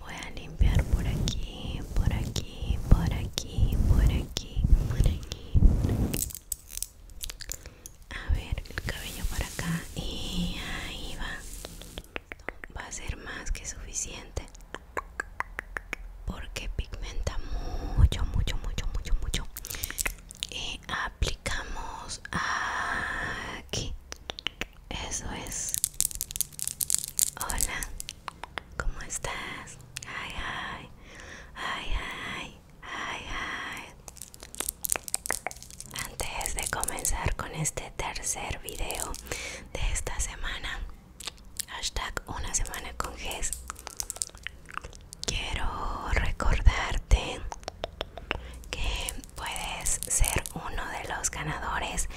Voy a limpiar por aquí, por aquí, por aquí, por aquí, por aquí. A ver, el cabello por acá y ahí va. Va a ser más que suficiente. Porque pigmenta mucho, mucho, mucho, mucho, mucho. Y aplicamos aquí. Eso es. Hola, ¿cómo estás? Ay, ay, ay, ay, Antes de comenzar con este tercer video de esta semana, hashtag una semana con GES, quiero recordarte que puedes ser uno de los ganadores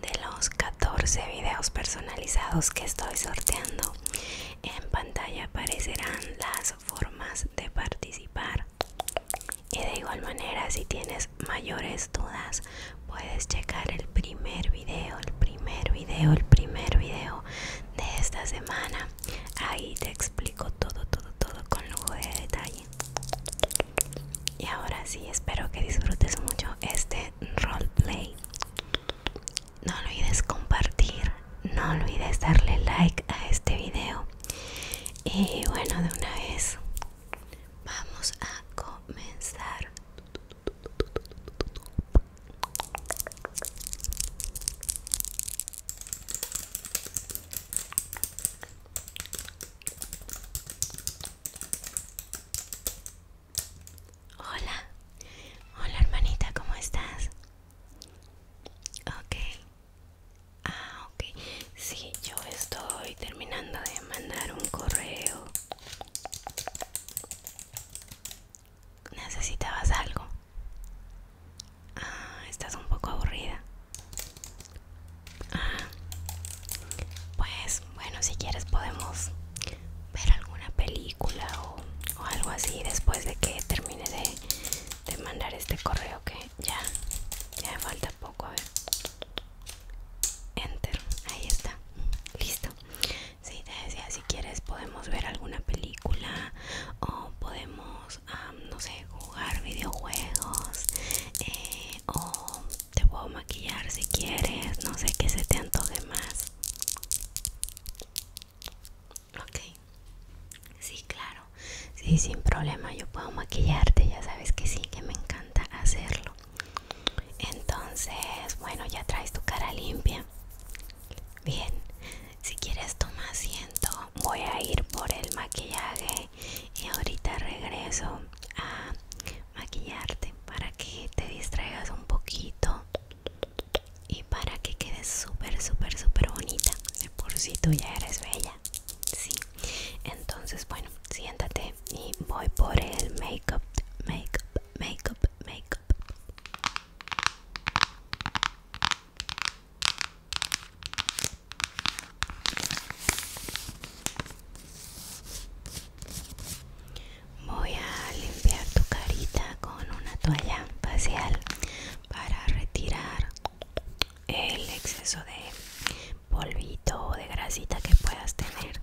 de los 14 videos personalizados que estoy sorteando. En pantalla aparecerán las formas de participar. Y de igual manera, si tienes mayores dudas, puedes checar el primer video, el primer video, el primer video de esta semana. Ahí te explico todo, todo, todo con lujo de detalle. Y ahora sí, espero que disfrutes mucho este roleplay. No olvides compartir, no olvides darle like a este video. Y bueno, de una vez vamos a comenzar. Hola, hola hermanita, ¿cómo estás? Ok, ah, ok, sí, yo estoy terminando de mandar un correo. ¿Necesitabas algo? Ah, estás un poco aburrida pues bueno, si quieres podemos ver alguna película o, algo así después de que termine de, mandar este correo que ya, ya me falta poco. A ver. Enter, ahí está, listo. Si sí, te decía, si quieres podemos ver alguna película o podemos... Ah, no sé, jugar videojuegos eh, o te puedo maquillar si quieres, no sé qué se te antoje más. Ok, sí, claro, sí, sin problema, yo puedo maquillarte, ya sabes que sí, que me encanta hacerlo. Entonces, bueno, ya traes tu cara limpia. Bien, si quieres toma asiento, voy a ir por el maquillaje y ahorita regreso a maquillarte para que te distraigas un poquito y para que quedes súper súper súper bonita de por si tú ya eres bella sí entonces bueno siéntate y voy por el makeup makeup makeup makeup Voy a limpiar tu carita con una toalla facial para retirar el exceso de polvito o de grasita que puedas tener.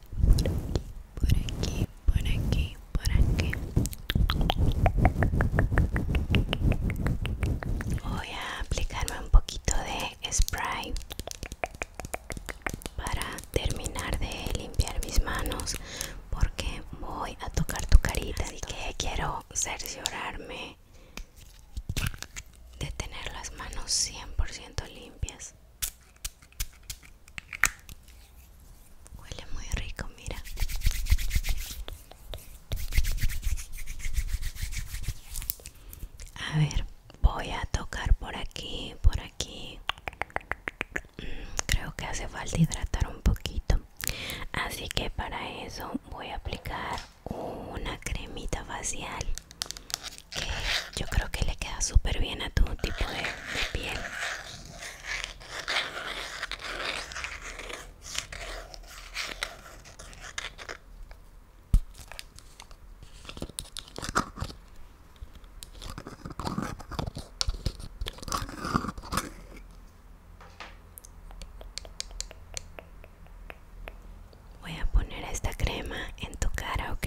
por aquí, por aquí, por aquí. Voy a aplicarme un poquito de spray para terminar de limpiar mis manos porque voy a tocar tu carita así que quiero cerciorarme de tener las manos 100% limpias Huele muy rico, mira. A ver, voy a tocar por aquí, por aquí. Mm, creo que hace falta hidratar un poquito. Así que para eso voy a aplicar una cremita facial que yo creo que le queda súper bien a tu tipo de, de piel Voy a poner esta crema en tu cara, ¿ok?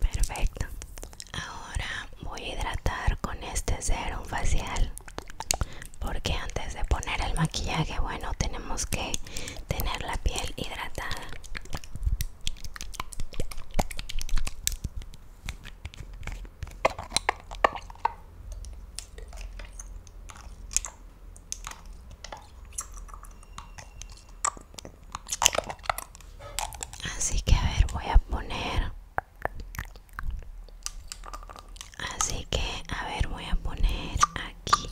Perfecto. Ahora voy a hidratar con este serum facial. Porque antes de poner el maquillaje, bueno, tenemos que tener la piel hidratada. Así que a ver, voy a poner. Así que a ver, voy a poner aquí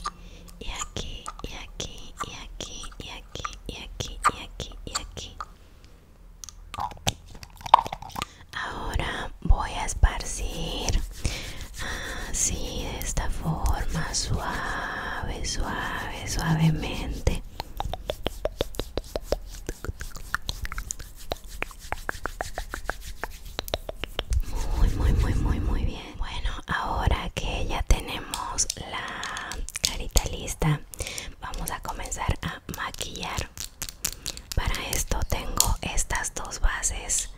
y aquí y aquí y aquí y aquí y aquí y aquí y aquí. Y aquí. Ahora voy a esparcir así de esta forma, suave, suave, suavemente. Muy, muy, muy, muy, muy bien. Bueno, ahora que ya tenemos la carita lista, vamos a comenzar a maquillar para esto tengo estas dos bases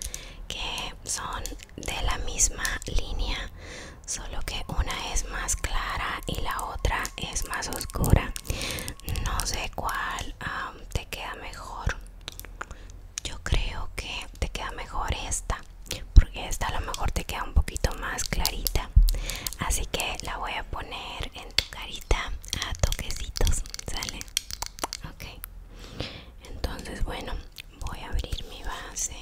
que son de la misma línea solo que una es más clara y la otra es más oscura no sé cuál te queda mejor yo creo que te queda mejor esta porque esta a lo mejor te queda un poquito más clarita así que la voy a poner en carita a toquecitos, ¿sale? Ok, entonces bueno, voy a abrir mi base.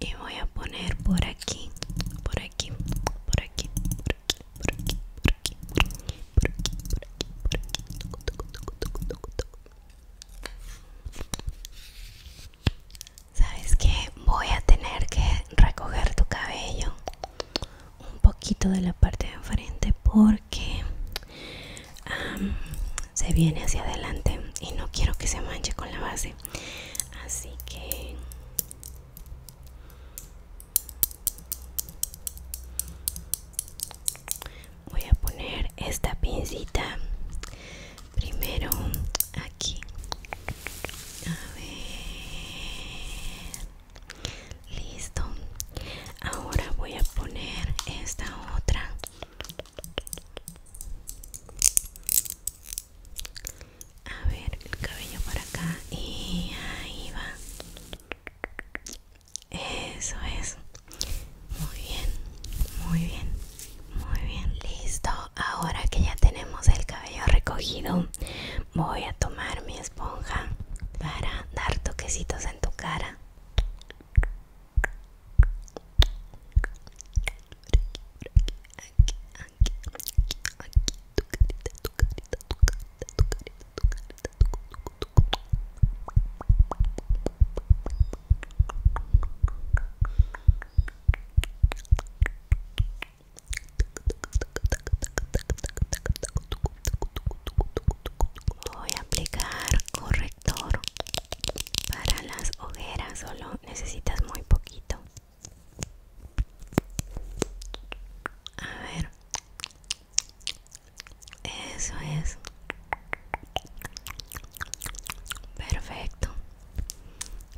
Y voy a poner por aquí, por aquí, por aquí, por aquí por aquí, por aquí, por aquí, por aquí, por aquí, Sabes que voy a tener que recoger tu cabello un poquito de la parte de enfrente porque se viene hacia adelante y no quiero que se manche con la base así que voy a poner esta pincita primero aquí a ver listo ahora voy a poner esta otra a ver el cabello para acá y ahí va eso es. Muy bien, muy bien, muy bien. Listo. Ahora que ya tenemos el cabello recogido, voy a tomar mi esponja para dar toquecitos en tu cara. Voy a aplicar corrector para las ojeras, solo necesitas muy poquito. A ver, eso es. Perfecto.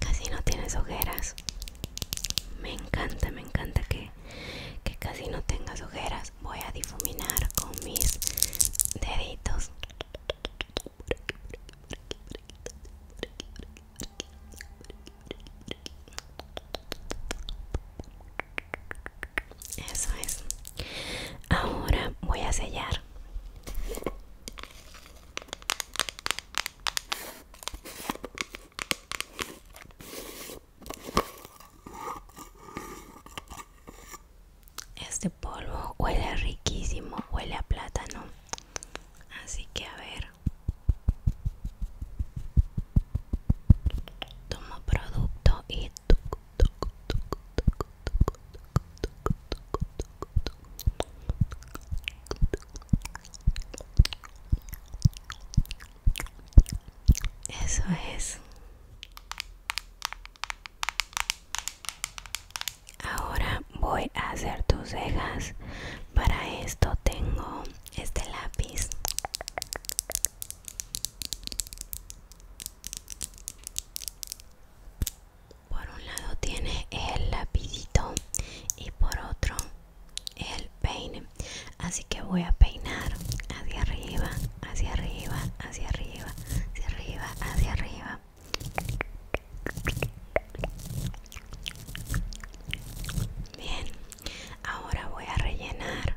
Casi no tienes ojeras. Me encanta, me encanta que, casi no tengas ojeras. Voy a difuminar con mis deditos. Eso es. Ahora voy a sellar. Este polvo huele riquísimo, huele a plátano. Así que a ver. Tomo producto y eso es. Ahora voy a hacer tus cejas. Para esto tengo este lápiz por un lado tiene el lapidito y por otro el peine así que voy a peinar hacia arriba hacia arriba hacia arriba hacia arriba hacia arriba bien ahora voy a rellenar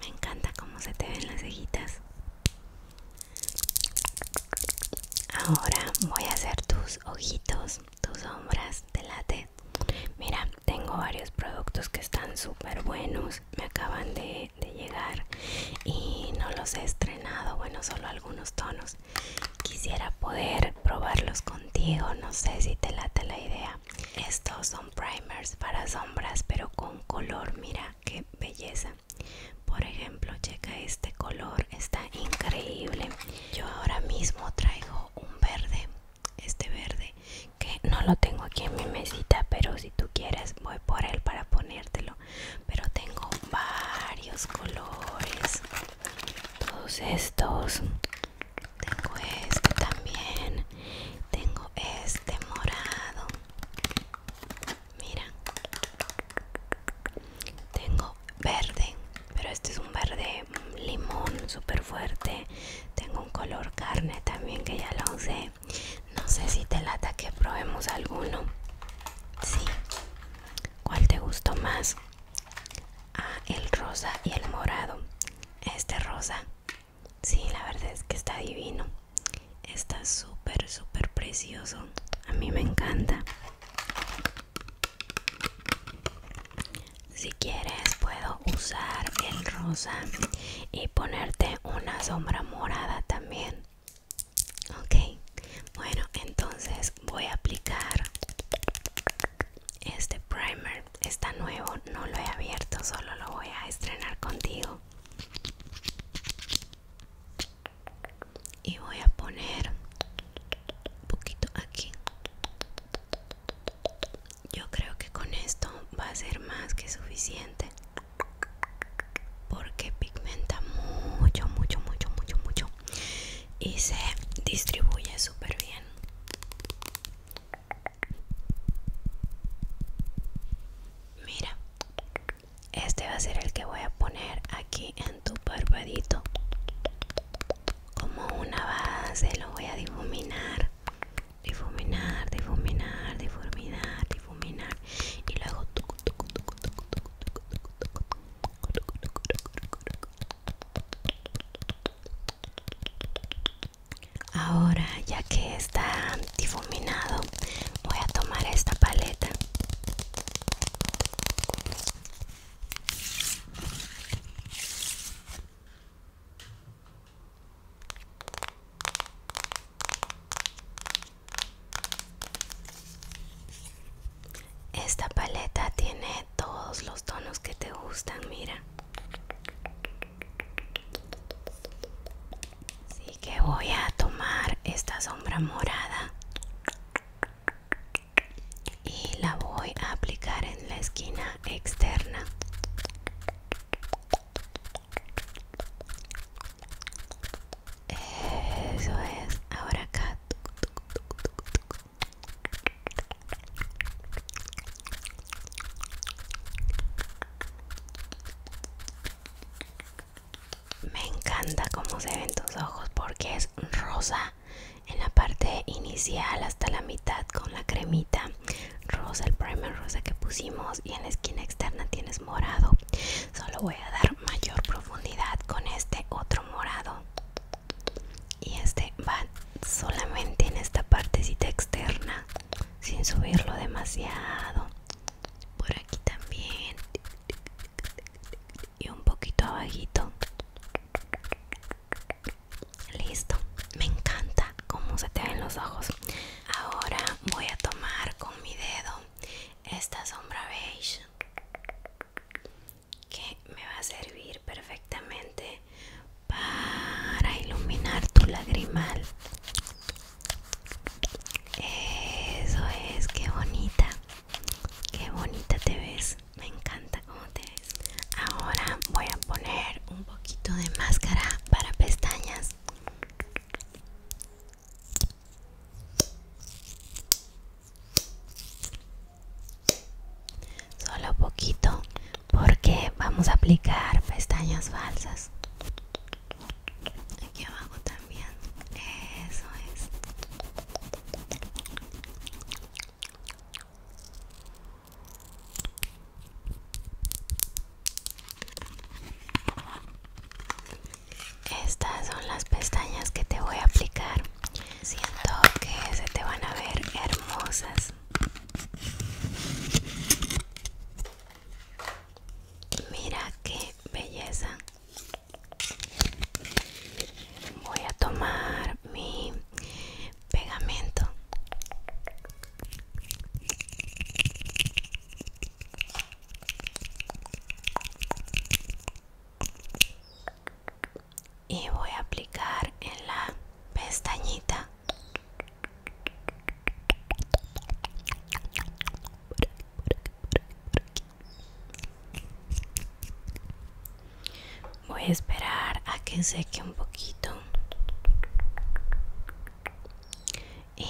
me encanta cómo se te ven las cejitas. Ahora voy a hacer tus ojitos, tus sombras de late. Mira, tengo varios productos que están súper buenos. Me acaban de, de llegar y no los he estrenado. Bueno, solo algunos tonos. Quisiera poder probarlos contigo. No sé si te late la idea. Estos son primers para sombras pero con color mira qué belleza por ejemplo checa este color está increíble yo ahora mismo traigo un verde este verde que no lo tengo aquí en mi mesita pero si tú quieres voy por él para ponértelo pero tengo varios colores todos estos tengo este también tengo este morado. Mira. Tengo verde, pero este es un verde limón súper fuerte. Tengo un color carne también que ya lo usé. No sé si te lata que probemos alguno. Sí. ¿Cuál te gustó más? Ah, el rosa y el morado. Este rosa. Sí, la verdad es que está divino. Está súper, súper precioso. A mí me encanta. Si quieres puedo usar el rosa y ponerte una sombra morada también. Ok, bueno, entonces voy a aplicar este primer está nuevo, no lo he abierto, solo lo voy a estrenar contigo. Y voy a poner un poquito aquí. Yo creo que con esto va a ser más que suficiente. Porque pigmenta mucho, mucho, mucho, mucho, mucho. Y se distribuye súper bien. Mira, este va a ser el que voy a poner aquí en tu barbadito. Como una base, lo voy a difuminar, difuminar, difuminar, difuminar, difuminar. Y luego... Ahora, ya que está difuminado, voy a tomar esta paleta. Esta paleta tiene todos los tonos que te gustan, mira. Así que voy a tomar esta sombra morada y la voy a aplicar en la esquina externa. Eso es, ahora acá. Me encanta cómo se ven tus ojos porque es rosa en la parte inicial hasta la mitad con la cremita rosa, el primer rosa que pusimos y en la esquina externa tienes morado. Solo voy a dar mayor profundidad con este otro morado y este va solamente en esta partecita externa sin subirlo demasiado por aquí también y un poquito abajito listo me encanta cómo se te ven los ojos ahora voy a tomar con mi dedo esta sombra beige que me va a servir perfectamente para iluminar tu lagrimal. Eso es, qué bonita, qué bonita te ves. Me encanta cómo te ves. Ahora voy a poner un poquito de máscara para pestañas. Solo poquito porque vamos a aplicar pestañas falsas aquí abajo también eso es estas son las pestañas que te voy a aplicar siento que se te van a ver hermosas Mira qué belleza. Voy a tomar mi pegamento. Y voy a aplicar en la pestañita voy a esperar a que seque un poquito y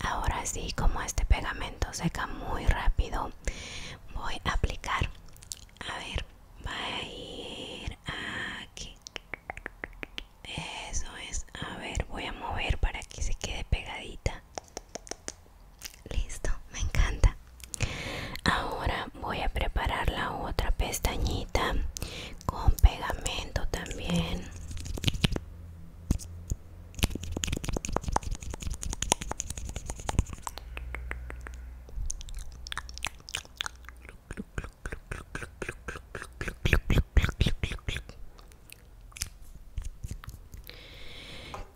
ahora sí como este pegamento seca muy rápido voy a aplicar a ver va a ir aquí eso es. A ver, voy a mover para que se quede pegadita. Listo, me encanta. Ahora voy a preparar la otra pestañita con pegamento también.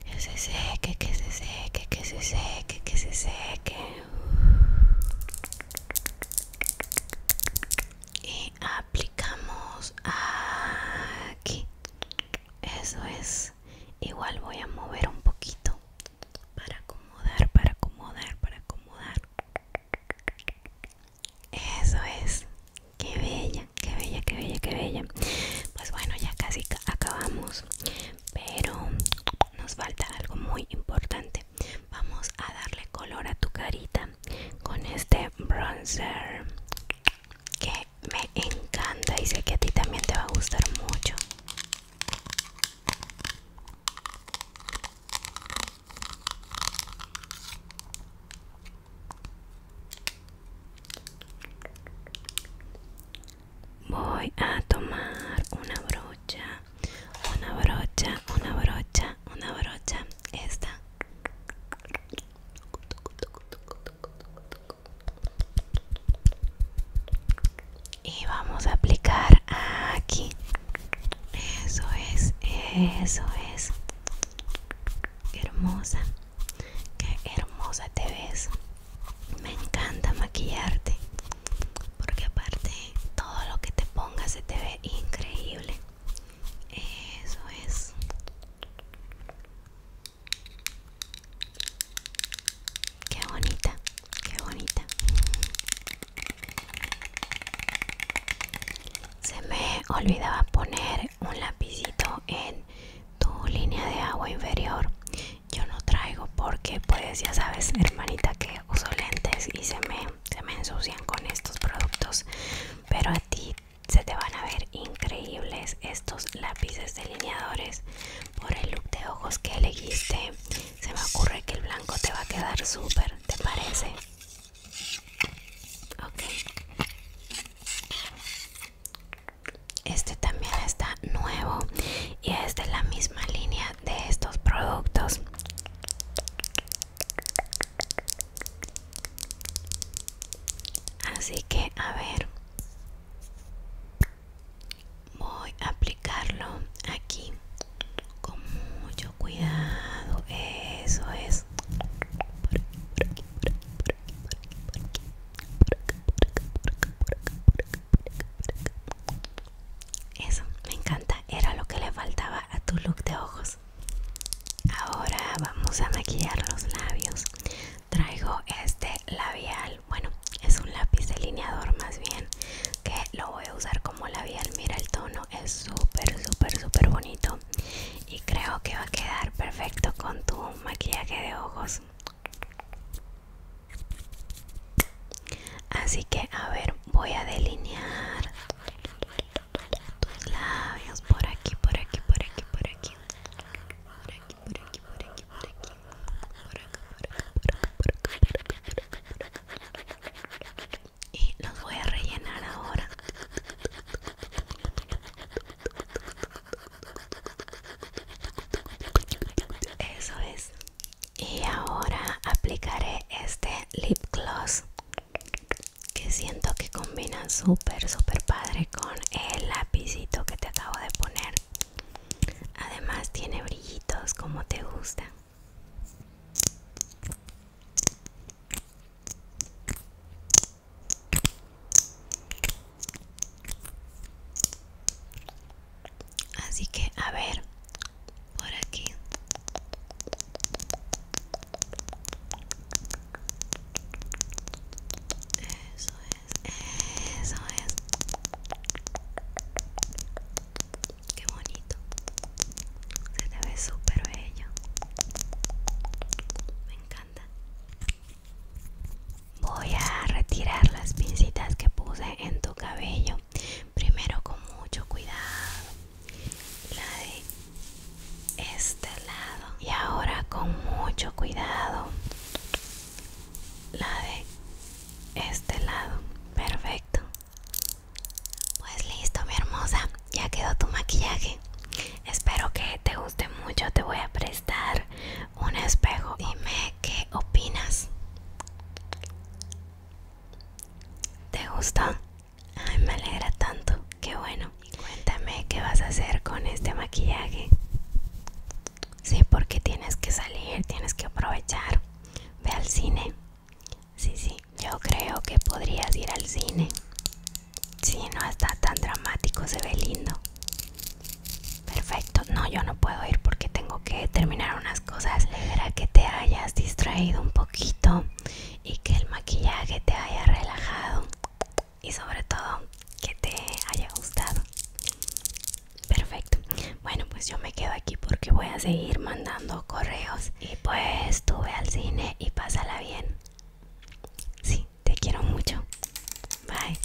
Que se seque, que se seque, que se seque, que se seque. Y aplicamos aquí. Eso es. Igual voy a mover un poquito para acomodar, para acomodar, para acomodar. Eso es. Qué bella, qué bella, qué bella, qué bella. Pues bueno, ya casi acabamos. Pero nos falta algo muy importante. Vamos a darle color a tu carita con este bronzer que me encanta y sé que a ti también te va a gustar mucho. Voy a tomar una brocha, una brocha, una brocha, una brocha, esta y vamos a aplicar aquí eso es eso es qué hermosa qué hermosa te ves me encanta maquillarte porque aparte todo lo que te pongas se te ve increíble eso es qué bonita Qué bonita. Se me olvidaba poner un lapicito en tu línea de agua inferior. Yo no traigo porque pues ya sabes, hermanita, que uso lentes y se me, se me ensucian con estos productos. Pero a ti se te van a ver increíbles estos lápices delineadores por el look de ojos que elegiste. Se me ocurre que el blanco te va a quedar súper ¿te parece? Ok. Este también está nuevo y es de la misma línea de estos productos. Así que a ver. Voy a aplicarlo aquí con cuidado. Eso es. Eso, me encanta. Era lo que le faltaba a tu look de ojos. Ahora vamos a maquillar los labios. Traigo este labial. Bueno, es un lápiz delineador más bien que lo voy a usar como labial mira el tono es súper súper súper bonito y creo que va a quedar perfecto con tu maquillaje de ojos así que a ver voy a delinear tus labios por aquí por aquí por aquí por aquí por aquí por aquí por aquí por aquí por acá por acá por acá y los voy a rellenar ahora eso es y ahora aplicaré este lip gloss que siento que combina súper súper padre con el lápizito que te acabo de poner además tiene brillitos como te gusta Así que a ver, por aquí. Eso es, eso es. Qué bonito. Se te ve súper bello. Me encanta. Voy a retirar las pincitas que puse en tu cabello. Primero con mucho cuidado. La de este lado. Y ahora con mucho cuidado. La de este lado. Perfecto. Pues listo mi hermosa, ya quedó tu maquillaje. Espero que te guste mucho, te voy a prestar un espejo. Dime qué opinas. ¿Te gustó? Ay, me alegra tanto, qué bueno. cuéntame qué vas a hacer con este maquillaje. Sí, porque tienes que salir, tienes que aprovechar. Ve al cine, Sí, sí, yo creo que podrías ir al cine. Si no está tan dramático, se ve lindo. Perfecto, no, yo no puedo ir porque tengo que terminar unas cosas. diré que te hayas distraído un poquito y que el maquillaje te haya relajado y sobre todo que te haya gustado. Perfecto. Bueno, pues yo me quedo aquí porque voy a seguir mandando correos. Y pues estuve al cine y pásala bien. Sí, te quiero mucho. Bye.